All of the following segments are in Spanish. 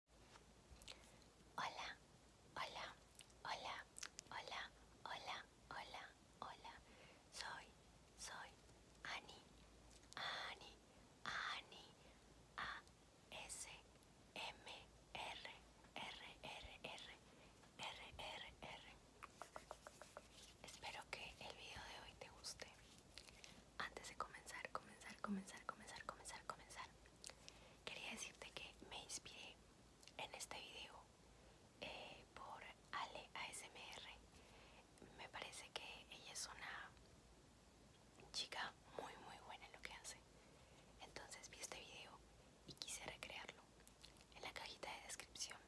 Hola, hola, hola, hola, hola, hola, hola. Soy, soy Ani, Ani, Ani, A S M R R R R R R R. Espero que el video de hoy te guste. Antes de comenzar, comenzar, comenzar, comenzar, comenzar, comenzar. Quería decirte que me inspiré en este video eh, por Ale ASMR. Me parece que ella es una chica muy muy buena en lo que hace. Entonces vi este video y quise recrearlo. En la cajita de descripción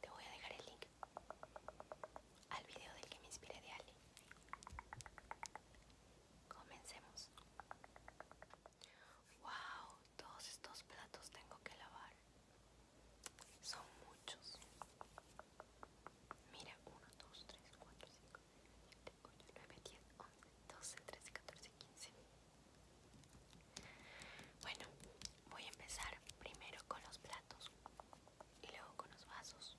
te voy a dejar el link al video del que me inspiré de Ale. Comencemos. Wow, todos estos platos tengo que lavar. Son muchos. Mira, 1, 2, 3, 4, 5, 6, 7, 8, 9, 10, 11, 12, 13, 14, 15. Bueno, voy a empezar primero con los platos y luego con los vasos.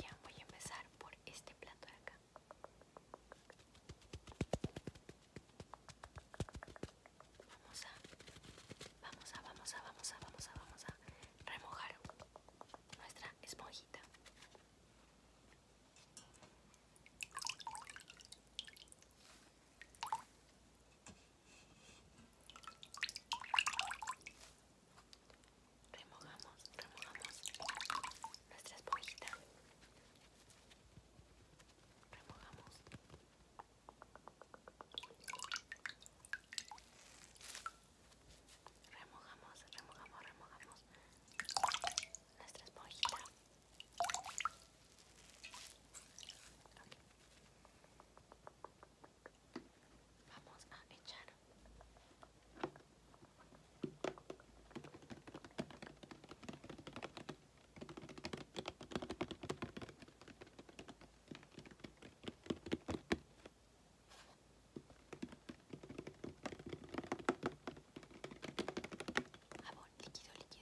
Ya voy a empezar por este plato de acá. Vamos a, vamos a, vamos a, vamos a, vamos a, vamos a remojar nuestra esponjita remojamos, remojamos nuestra esponjita remojamos remojamos, remojamos, remojamos nuestra esponjita Vamos a echar jabón líquido, líquido,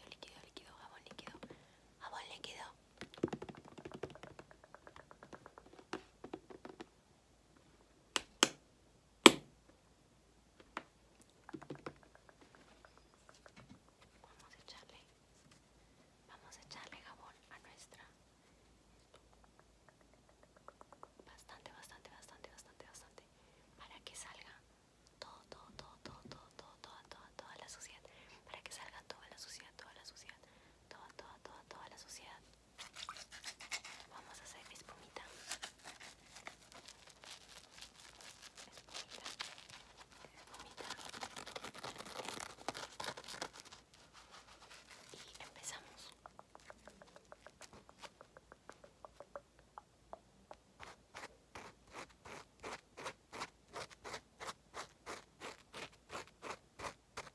líquido, líquido, jabón líquido, jabón líquido. Vamos a echarle, vamos a echarle jabón a nuestra bastante, bastante, bastante, bastante, bastante, para que salga todo, todo, todo, todo, toda, toda la suciedad, para que salga toda la suciedad, toda la suciedad toda, toda, toda, toda la sociedad Vamos a hacer espumita. Espumita. Espumita. Y empezamos.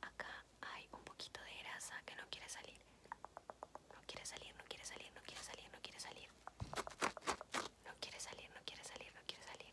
Acá hay un poquito de grasa que no quiere salir. No quiere salir, no quiere salir, no quiere salir, no quiere salir. No quiere salir, no quiere salir, no quiere salir.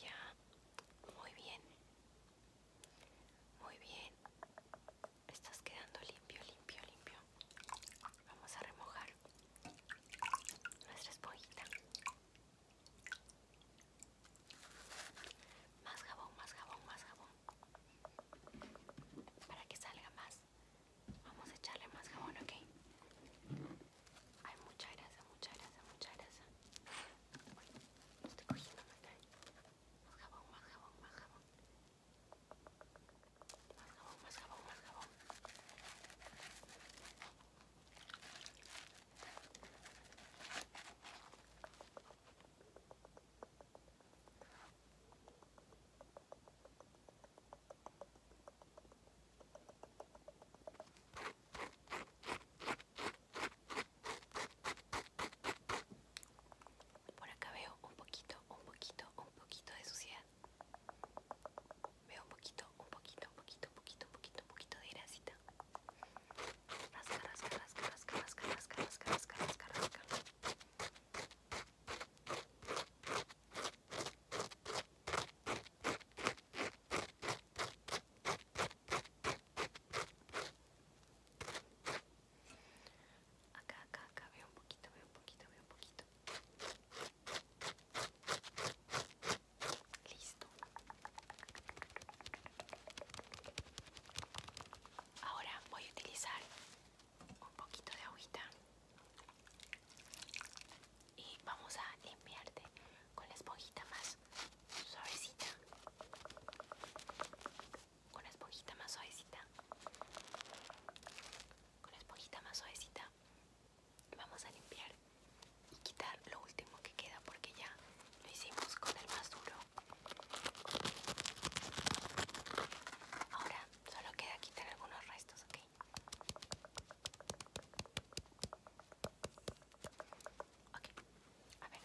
Ya, muy bien, muy bien, estás quedando limpio, limpio, limpio. Vamos a remojar nuestra esponjita. Más jabón, más jabón, más jabón. Para que salga más. Vamos a echarle más jabón, ¿ok? Hay mucha grasa, mucha grasa, mucha grasa. Estoy cogiendo más Más jabón, más jabón, más jabón. Más jabón, más jabón, más jabón. Por acá veo un poquito, un poquito, un poquito de suciedad. Veo un poquito, un poquito, un poquito, un poquito, un poquito, un poquito de grasita. Rasca, rasca, rasca, rasca, rasca, rasca, rasca, rasca, rasca, rasca. Acá, acá, acá, veo un poquito, veo un poquito, veo un poquito. Listo. Ahora voy a utilizar un poquito de agujita y vamos a limpiarte con la esponjita más suavecita. Con la esponjita más suavecita. Con la esponjita más suavecita vamos a limpiar y quitar lo último que queda porque ya lo hicimos con el más duro ahora solo queda quitar algunos restos ok ok a ver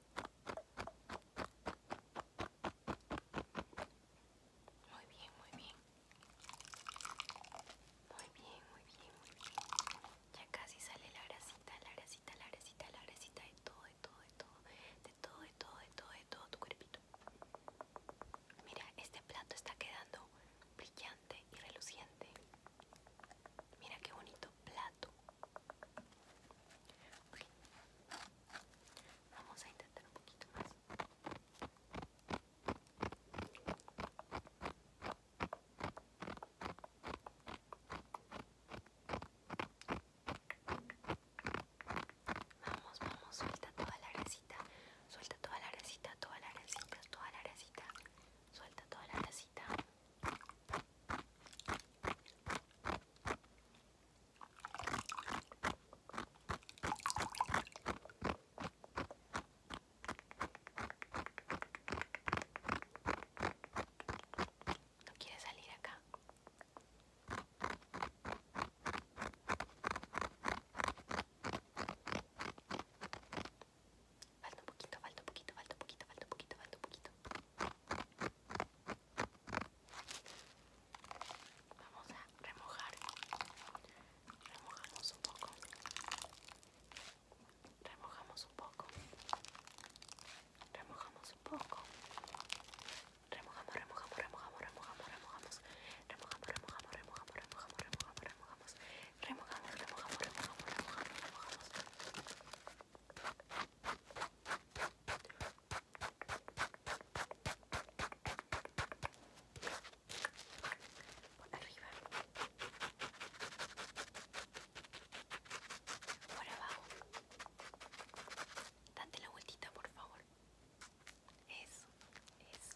Muy bien, muy bien. Muy bien, muy bien, muy bien. Ya casi sale la grasita, la grasita, la grasita, la grasita de todo, de todo, de todo, de todo, de todo, de todo, tu cuerpito. Mira, este plato está quedando brillante y reluciente. Mira qué bonito plato. Vamos a intentar un poquito más. Vamos, vamos, suelta toda la resita suelta toda la resita, toda la resita, toda la resita suelta toda la resita no quiere salir acá. Falta un poquito, falta un poquito, falta un poquito, falta un poquito, falta un poquito. Vamos a remojar. Remojamos un poco. Remojamos un poco. Remojamos un poco. Remojamos, remojamos, remojamos, remojamos, remojamos. Remojamos, remojamos, remojamos, remojamos, remojamos, remojamos. Remojamos, remojamos, por arriba, por abajo, date la vueltita por favor, eso, eso.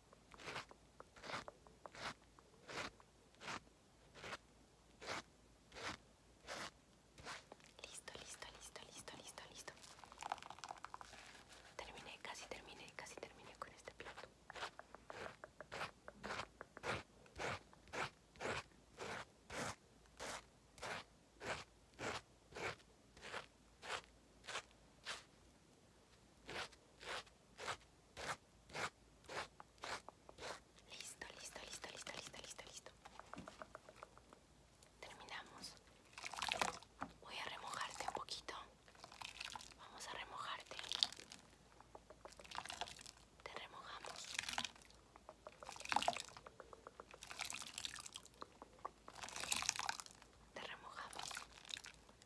Listo, listo, listo, listo, listo, listo. Terminé, casi terminé, casi terminé con este plato. Listo, listo, listo, listo, listo, listo, listo. Terminamos. Voy a remojarte un poquito. Vamos a remojarte. Te remojamos. Te remojamos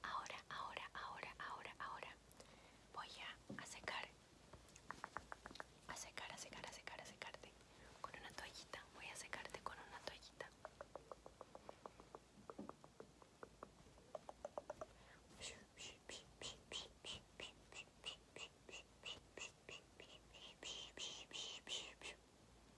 Ahora, ahora, ahora, ahora, ahora voy a secar, a secar, a secar, a secar, a secarte con una toallita. Voy a secarte con una toallita.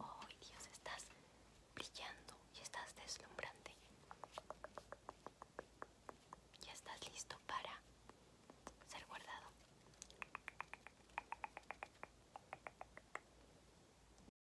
Oh Dios, estás brillando y estás deslumbrante. Ya estás listo para ser guardado.